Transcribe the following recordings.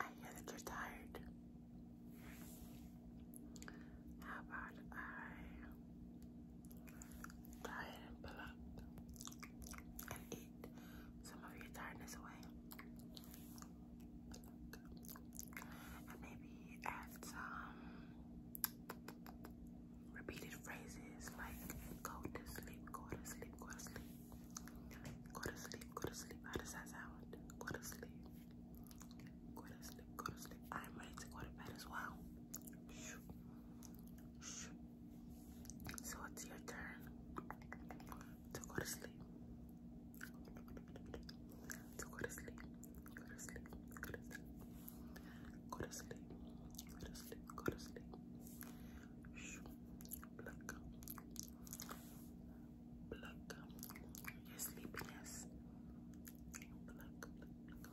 I hear that you're tired. How about I go and pull and eat some of your tiredness away? And maybe add some repeated phrases like go to sleep, go to sleep, go to sleep. Go to sleep, go to sleep. How does that sound? Go to sleep. Go to sleep, go to sleep. I'm ready to go to bed as well. So it's your turn to go to sleep. To go to sleep. Go to sleep. Go to sleep. Go to sleep. Go to sleep. Go to sleep. Go to sleep. Go to sleep. Look pluck your sleepiness. Pluck, pluck, pluck,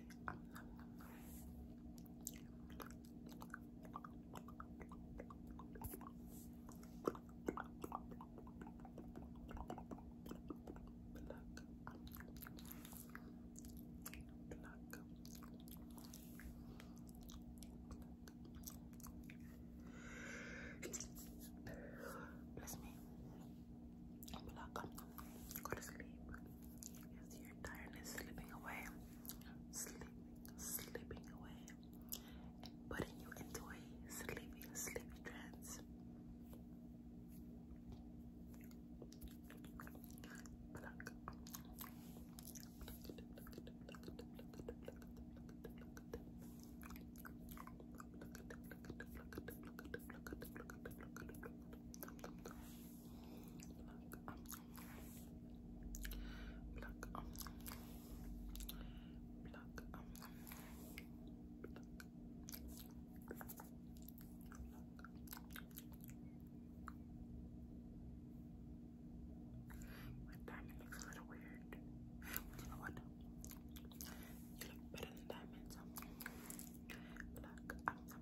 it. Bless me. Go to sleep. Yes, you tiredness slipping away, sleeping, slipping away, putting you into a sleepy, sleepy trance. Look, um, look, um, my diamond looks a little weird. You know what? You look better than diamonds. Look, um,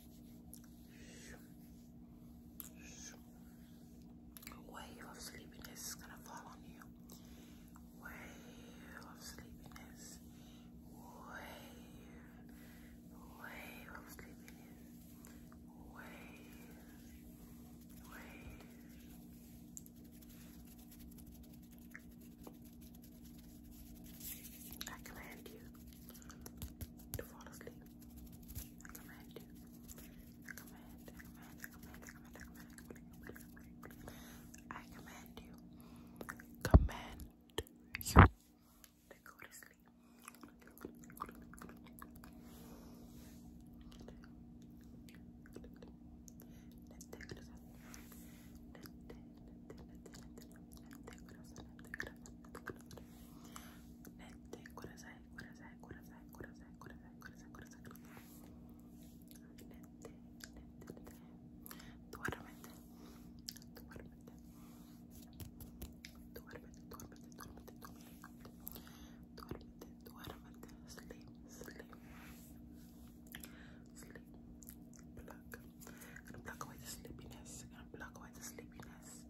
Wave of sleepiness is gonna fall on you. Wave of sleepiness. Wave. Wave of sleepiness. Wave. Wave. I command you to fall asleep recommend, recommend, recommend, recommend, recommend, recommend, I command you, command you to go to sleep. Nette, corazai, corazai, corazai, corazai, corazai, corazai, corazai, corazai. Nette, nette, nette. Duérmete, duérmete. Duérmete, duérmete, duérmete, duérmete. Duérmete, duérmete. Sleep, sleep. Sleep. Pluck. gonna block away the sleepiness. gonna block away the sleepiness.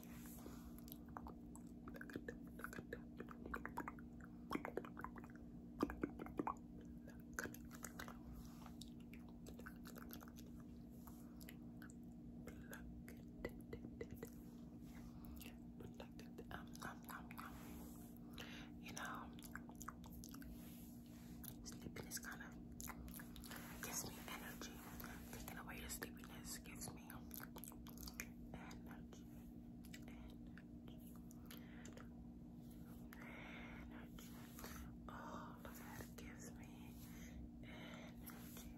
You know, sleepiness kind of gives me energy. Taking away your sleepiness gives me me energy, energy, energy. All that gives me energy.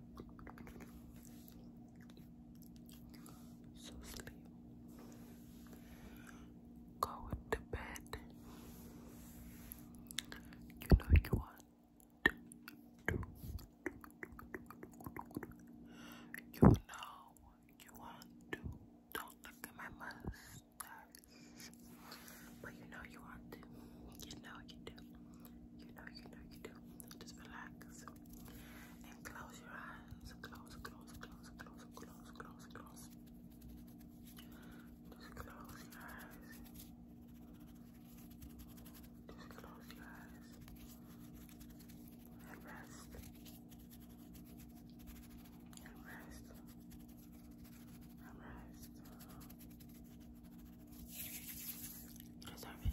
So sleep. Go to bed. You know you want you know you want to. Don't look at my mustache. But you know you want to. You know you do. You know, you know you do. Just relax. And close your eyes. Close, close, close, close, close, close, close. Just close your eyes. Just close your eyes and rest. And rest. And rest. Deserve it.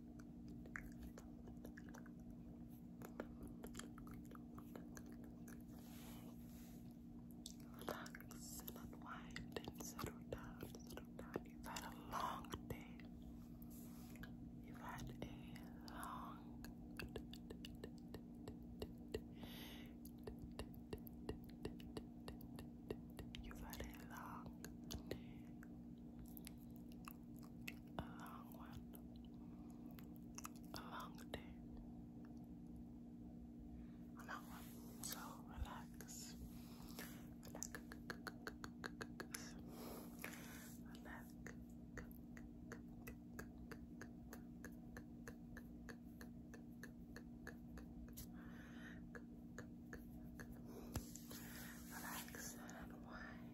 Relax and unwind and settle down, You've had a long day. You've had a long You've had a long day a long one, a long day, a So relax, relax, relax. Relax and unwind.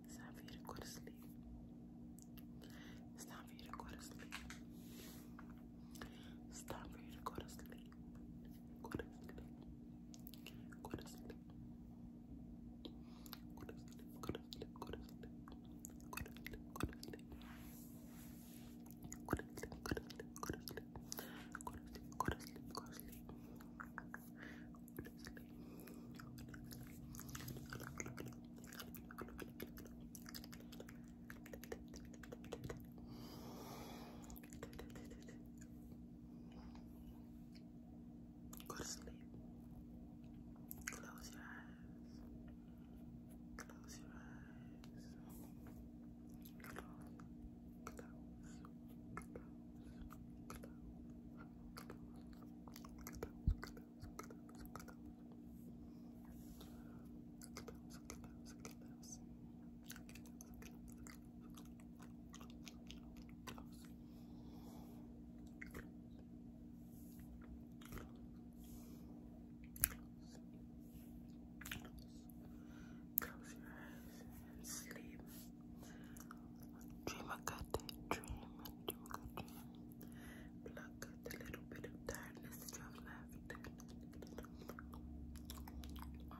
It's time for you to go to sleep. It's time for you to go to sleep. It's time for you to go to sleep. Go to sleep. Go to sleep. Go to sleep. Go to sleep. Go to sleep. Go to sleep. Go to sleep. Go to sleep. Go to sleep. Go to sleep. Go to sleep. Go to sleep. Close your eyes. Close your eyes. Close, close, close, Close your eyes and sleep. Dream I got that dream, dream I got dream. Pluck out the little bit of tiredness you have left. Um,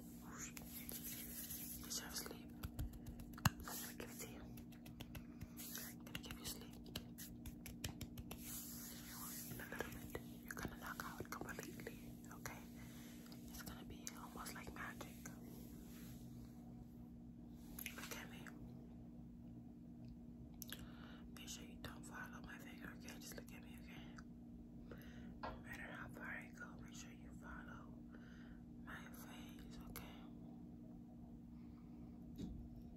I'm gonna give it to I'm gonna give you sleep. In a little bit, you're gonna knock out completely, okay? It's gonna be almost like magic. Look at me. Make sure you don't follow my finger, okay? Just look at me, okay? No matter how far I go, make sure you follow my face, okay?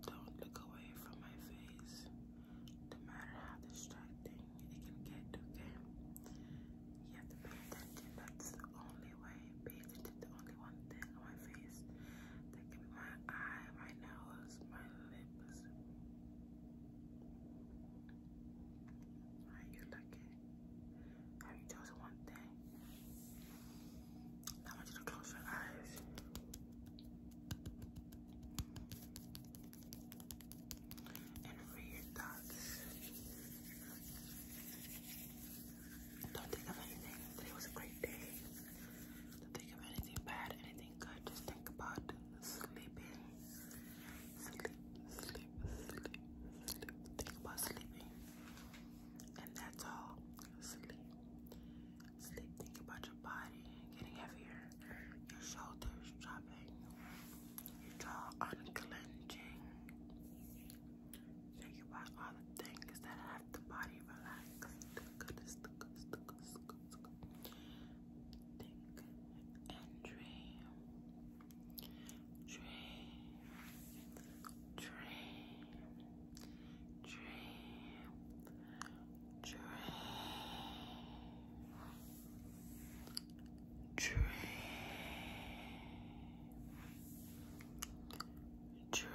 Don't look away from my face. No matter how distracting it can get, okay? You have to pay attention. That's the only way. Pay attention to only one thing my face. That can my eye, my nose, my lips. Are you looking? Have you chosen one thing? Now I want you to close your eyes. And free your thoughts. Don't think of anything. Today was a great day. Don't think of anything bad, anything good. Just think about sleeping. Sleep, sleep, Think about sleeping. And that's all. Sleep. Sleep. Think about your body getting heavier. Your shoulders dropping. Your jaw unclenching. Think about all the things that have the body relax. Goodness, goodness, goodness, Think and dream dream, dream, dream, dream, dream, dream. Dream.